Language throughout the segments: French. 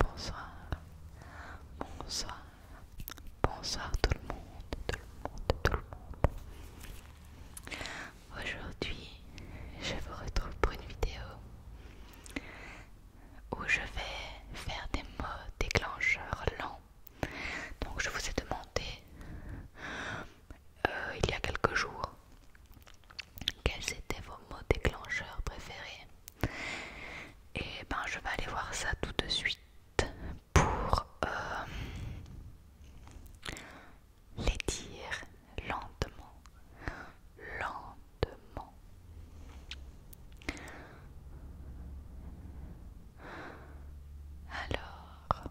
Bonsoir, bonsoir, bonsoir tout le monde, tout le monde, tout le monde. Aujourd'hui, je vous retrouve pour une vidéo où je vais faire des mots déclencheurs lents. Donc je vous ai demandé euh, il y a quelques jours. Quels étaient vos mots déclencheurs préférés Et eh ben je vais aller voir ça tout de suite pour euh, les dire lentement. Lentement. Alors,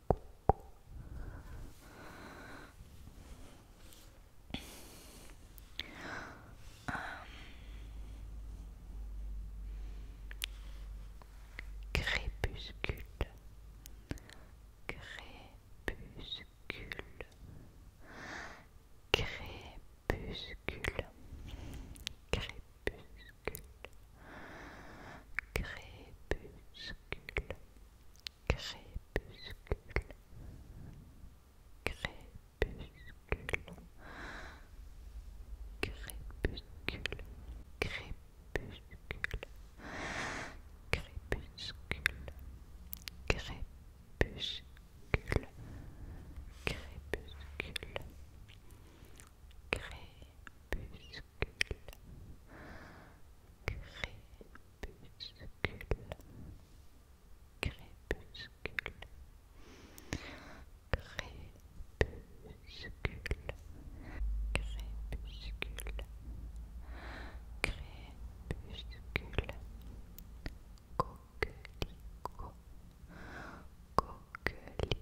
Um, crépuscule, crépuscule, crépuscule, crépuscule crépuscule, crépuscule, crépuscule, crépuscule, crépuscule, crépuscule, crépuscule, crépuscule, crépuscule, crépuscule, crépuscule, crépuscule, crépuscule, crépuscule, coculico, coquelicot, coquelicot.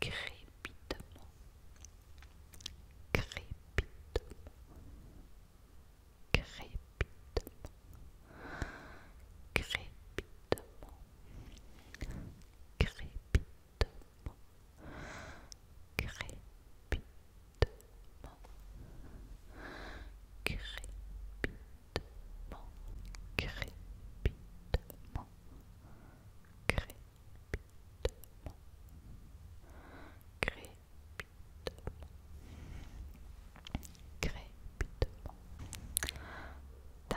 crépitement, crépitement, crépitement, crépitement, crépitement, crépitement, crépitement, crépitement, crépitement, crépitement, crépitement,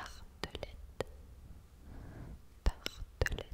tartelette, tartelette,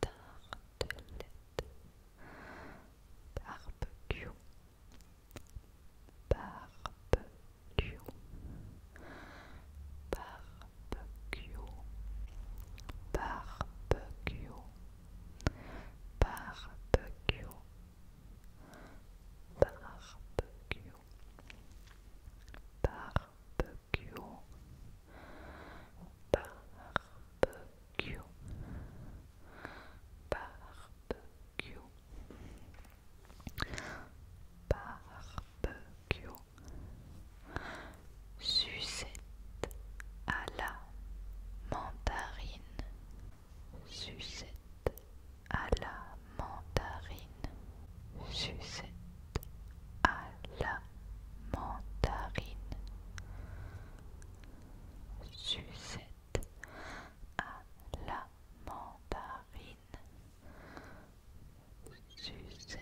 tartelette barbecue barbecue barbecue barbecue barbecue barbecue barbecue, barbecue, barbecue, barbecue, sucette à la mandarine, sucette à la mandarine. Sucette à la mandarine. Sucette à la mandarine. Sucette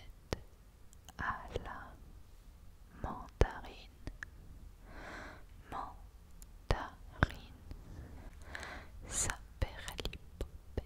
à la mandarine. Mandarine. Saperlipopette.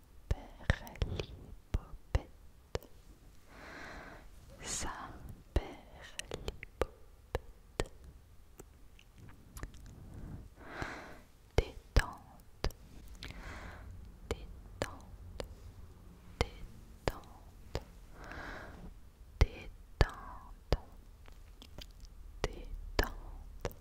perlipopette sa perlipopette détente détente détente détente détente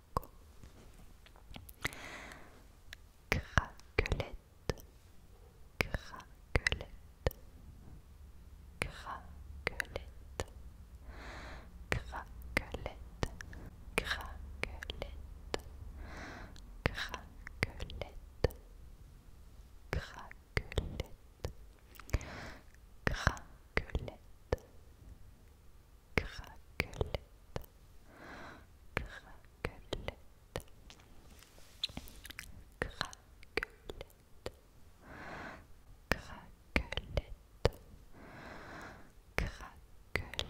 Craquelette, craquelette, craquelette, craquelette, craquelette, craquelette, craquelette, craquelette, craquelette, craquelette, craquelette, craquelette, craquelette, craquelette, craquelette,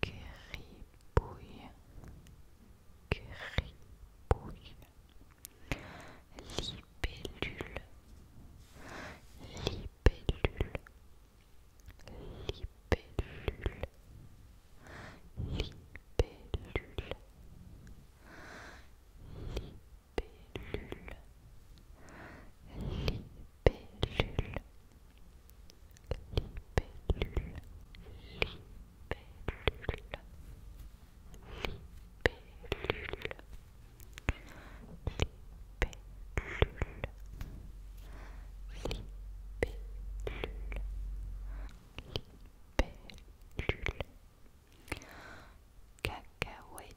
Gribouille, gribouille, libellule, libellule, libellule, libellule, libellule, libellule. Libellule, cacahuète, cacahuète,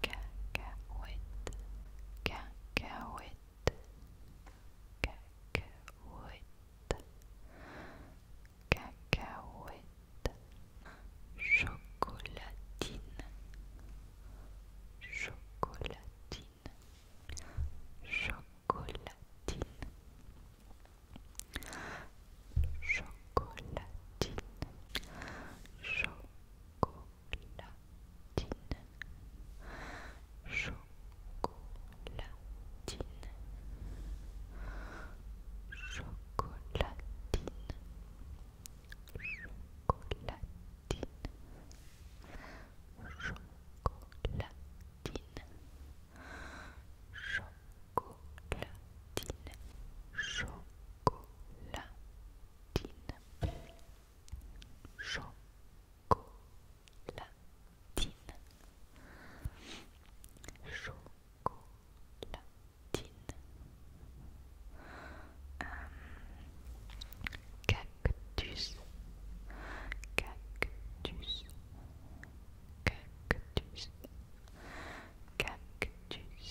Cacahuète. Cacahuète. Cacahuète. Cacahuète. Chocolatine. Chocolatine. Chocolatine chocolatine, chocolatine, chocolatine, chocolatine, chocolatine. Chocolatine, chocolatine, chocolatine chocolatine chocolatine chocolatine cactus cactus cactus cactus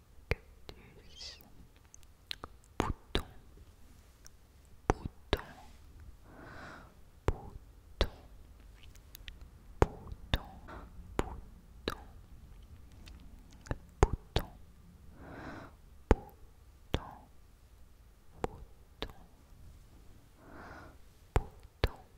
bouton, bouton, bouton, bouton, bouton, bouton, bouton, bouton, bouton.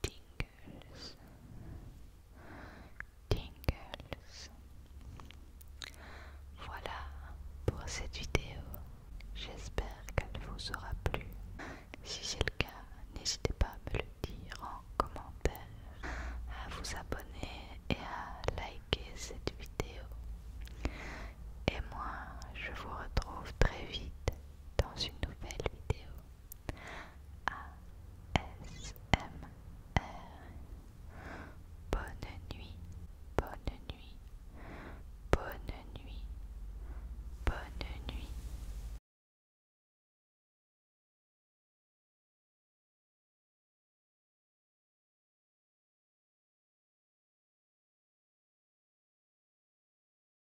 tingles, tingles. Voilà pour cette vidéo. J'espère qu'elle vous aura plu. Si c'est le cas, n'hésitez pas à me le dire en commentaire, à vous abonner et à liker cette vidéo. Et moi, je vous retrouve très vite dans une nouvelle vidéo. R. Bonne nuit, bonne nuit, bonne nuit, bonne nuit.